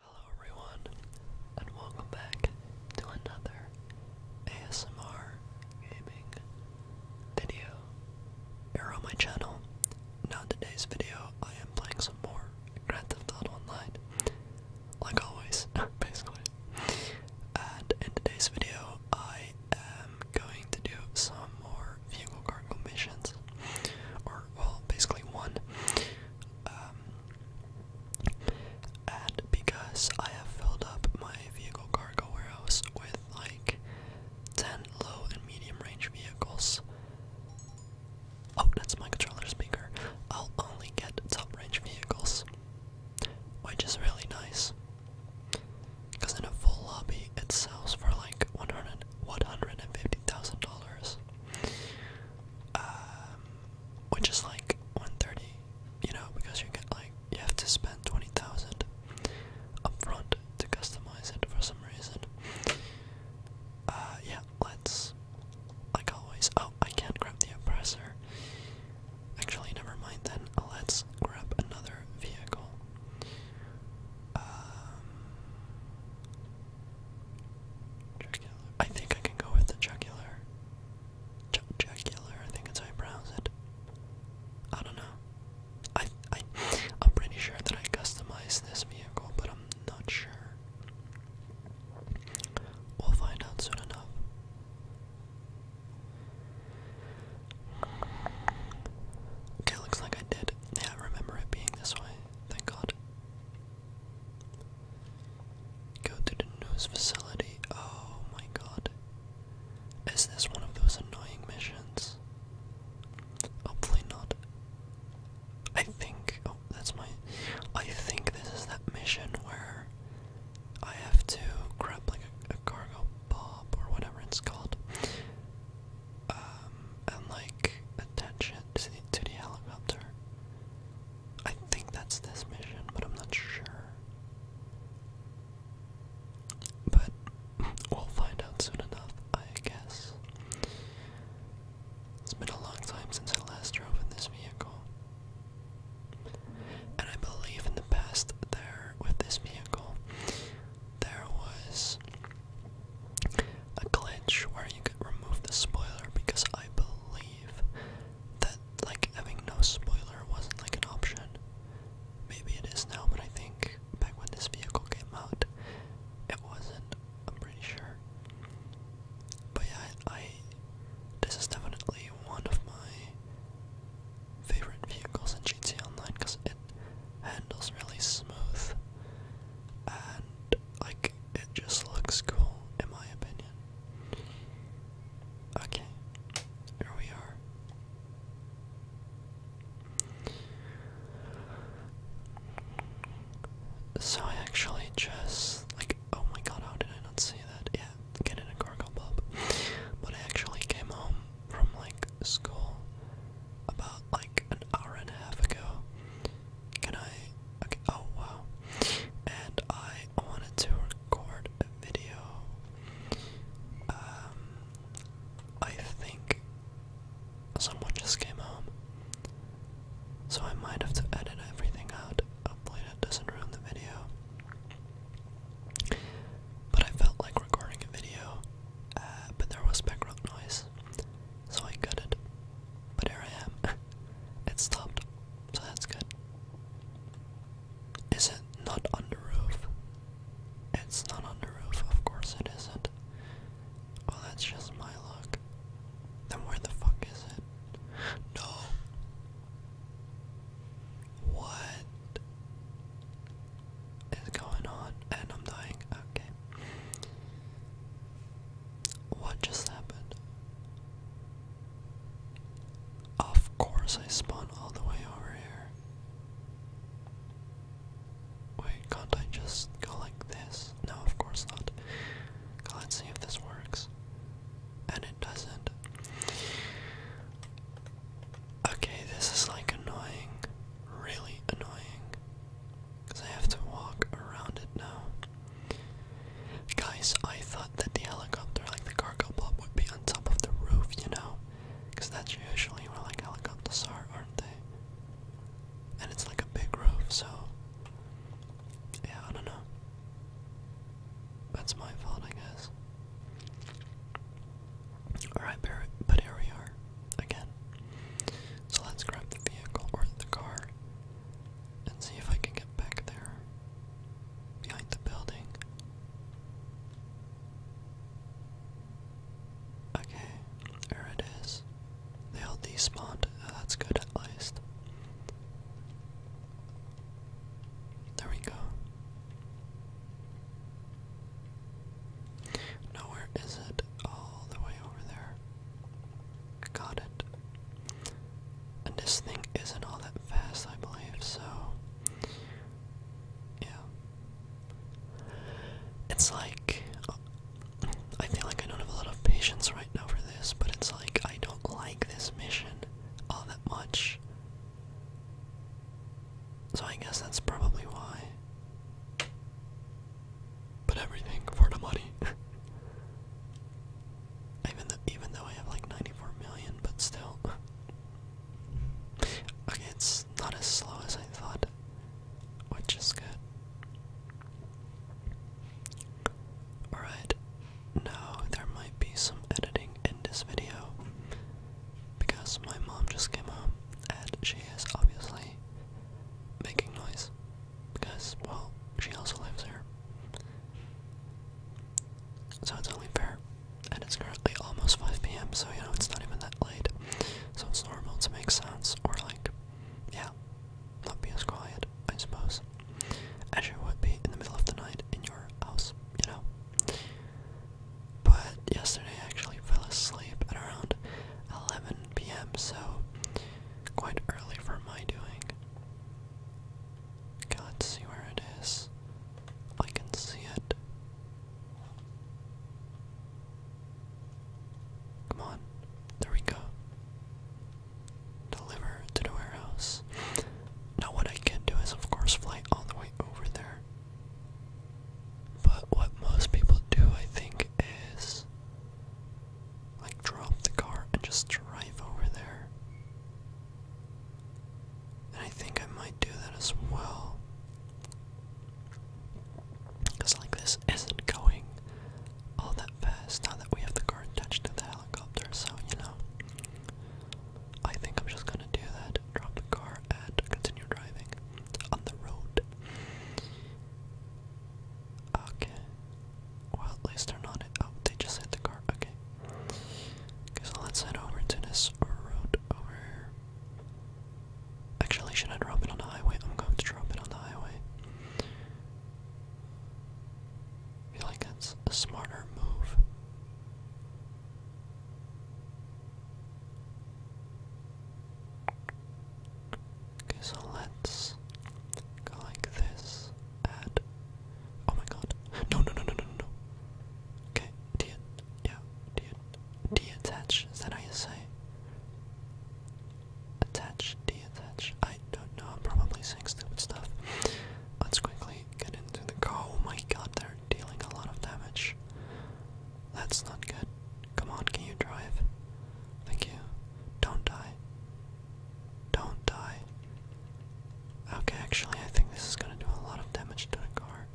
Hello everyone, and welcome back to another ASMR gaming video here on my channel. Now in today's video, I am playing some more Grand Theft Auto Online, like always, basically. And in today's video, I am going to do some more vehicle cargo missions, or well, basically one. Um, and because I have filled up my vehicle cargo warehouse with like 10 low and medium range vehicles. Oh, that's my controller speaker. I'll only get top range vehicles, which is really nice. Because in a full lobby, it sells for like $150,000. Um, which is like 130, you know, because you get like you have to spend 20,000 upfront to customize it for some reason. Uh, yeah, let's, like always. Oh, I can't grab the oppressor. Actually, never mind then. Let's grab another vehicle. Um, I think I can go with the jugular. jugular, I think it's how you I don't know. I, I, am pretty sure that I customized this vehicle, but I'm not sure. We'll find out soon enough. Okay, looks like I did. Yeah, remember it being this way. Thank God. Go to the news facility. Oh my god. Is this one of those annoying missions? Hopefully not. I think. Oh, that's my. I think this is that mission where I have to grab like a cargo bob or whatever it's called. Um, and like attention to the, to the helicopter. I think that's this mission, but I'm not sure. But we'll find out soon enough, I guess. It's been a long time since I last drove in this vehicle. And I believe in the past there with this vehicle there was a glitch where you could remove the spoiler because I believe that like having no spoiler wasn't like an option. Maybe it is now, but I think back when this vehicle came out, it wasn't. I'm pretty sure. But yeah, I, this is definitely one of my favorite vehicles in GTA Online because it handles really smooth and like it just looks cool in my opinion. Okay, here we are. So I actually just like oh my god how did I not see that? Yeah, get in a cargo pub. But I actually came home from like school about like an hour and a half ago. Can I? Okay. Oh wow. And I wanted to record a video. Um, I think someone just came home, so I might have to edit everything out. Hopefully, that doesn't ruin the video. But I felt like recording a video uh, but there was background noise, so I got it. But here I am. it stopped, so that's good. Is it not on the roof? It's not on the roof, of course it isn't. Well, that's just my luck. Then where the fuck is it? No. What? is going on and I'm dying. Okay. What just happened? Of course I spawned all the way over here. Wait, can't I just go like this? No, of course not. God, let see if this works. And it doesn't. Okay, this is like annoying. Really annoying. Because I have to walk around it now. Guys, I thought that the helicopter, like the cargo pop, would be on top of the roof, you know? Because that's usually where like helicopters are, aren't they? And it's like a big roof, so. Yeah, I don't know. That's my fault, I guess. Alright, but here we are again. So let's grab the vehicle or the car and see if I can get back there behind the building. Okay, there it is. They all despawned. Uh, that's good at least. There we go. No, where is it? All the way over there. Got it. And this thing isn't all that fast, I believe, so. Yeah. It's like. I feel like I don't have a lot of patience right now for this, but it's like I don't like this mission all that much. So I guess that's probably why. But everything for the money. even though I have like 94 million, but still. okay, it's not as slow as I thought. Which is good. Alright. Now there might be some editing in this video because my mom just came home and she is obviously making noise because, well, she also lives here. So it's only fair. And it's currently almost 5 p.m., so you know, it's not even that late. So it's normal to make sounds or, like, yeah, not be as quiet, I suppose, as you would be in the middle of the night in your house, you know? But yesterday I actually fell asleep at around 11 p.m., so quite early for my doing. Okay, see where it is. I can see it. Come on. There we go. Deliver to the warehouse. Now, what I can do is, of course, fly all the way over there. But what most people do, I think, is like drop the car and just drive over there. And I think I might do that as well. Because, like, this isn't going all that fast now that we have the car attached to the helicopter, so you know. I think I'm just gonna do that. Drop the car and continue driving on the road. Okay. Well, at least they're not. oh, they just hit the car. Okay. Okay, so let's head over to this road over here. Actually, should I drop it on the highway? I'm going to drop it on the highway. I feel like that's a smarter move. Okay, so let's go like this. Add. Oh my god. No, no, no, no, no, no. Okay, de yeah, de deattach. Is that how you say? Attach, deattach. I don't know. I'm probably saying stupid stuff. Let's quickly get into the car. Oh my god, they're dealing a lot of damage. That's not good. Come on, can you drive? Thank you. Don't die. Don't die. Okay, actually, I think this is gonna do a lot of damage to the car.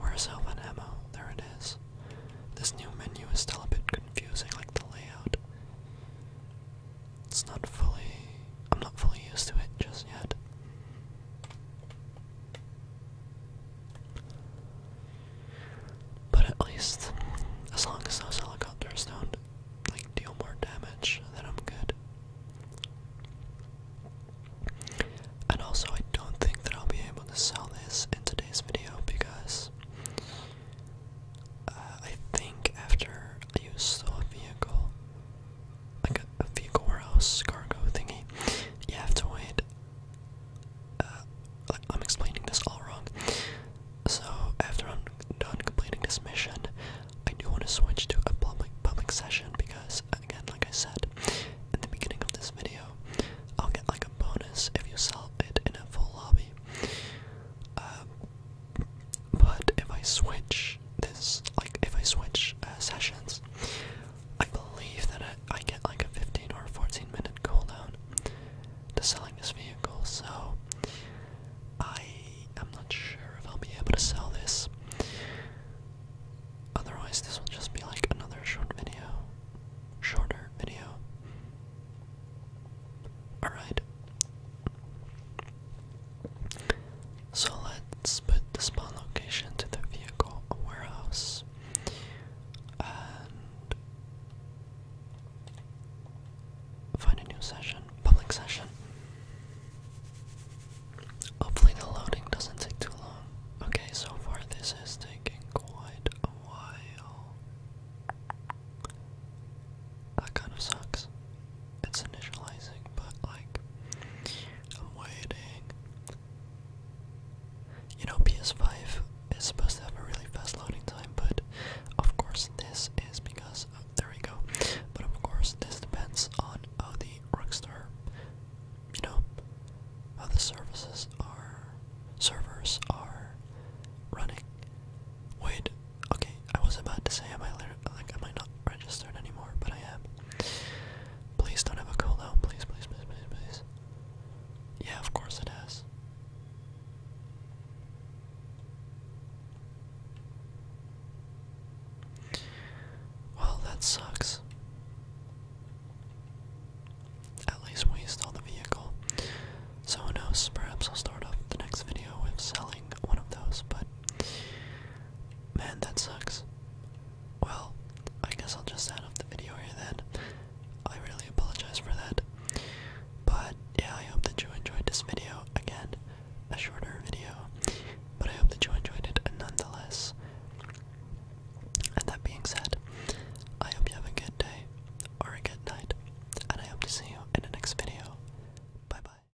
Where's health and ammo? There it is. This new menu is still a bit confusing, like the layout. It's not fully. I'm not fully used to it just yet. But at least, as long as those helicopters don't like deal more damage, then I'm good. And also, I don't think that I'll be able to sell this in today's video because uh, I think after I use the vehicle, like a, vehicle warehouse cargo thingy. You have to wait. Uh, I'm explaining this all wrong. So after I'm done completing this mission, I do want to switch to a public public session because again, like I said in the beginning of this video, I'll get like a bonus if you sell it in a full lobby. Um, but if I switch this, like if I switch uh, sessions, I believe that I, I get like a 15 or 14 minute cooldown to selling this vehicle, so I am not sure if I'll be able to sell this. Otherwise, this will just be like another short video. Shorter video. Alright. So let's put the spawn location to the vehicle warehouse. And find a new session, public session. Hopefully the loading doesn't take too long. Okay, so far this is taking quite a while. That kind of sucks it's initializing, but like I'm waiting. You know, PS5 is supposed to have a really fast loading time, but of course this is because oh, there we go. But of course this depends on how the Rockstar, you know, how the services are, servers are running. Wait, okay, I was about to say, am I like, am I not registered anymore? But I am. Please don't have a colo. Please, please, please, please, please. Yeah, of course it has. Well, that sucks. At least we stole the vehicle. So who knows? Perhaps I'll start off the next video with selling one of those, but Man, that sucks. Well, I guess I'll just end up the video here then. I really apologize for that. But yeah, I hope that you enjoyed this video. Again, a shorter video. But I hope that you enjoyed it nonetheless. And that being said, I hope you have a good day or a good night. And I hope to see you in the next video. Bye bye.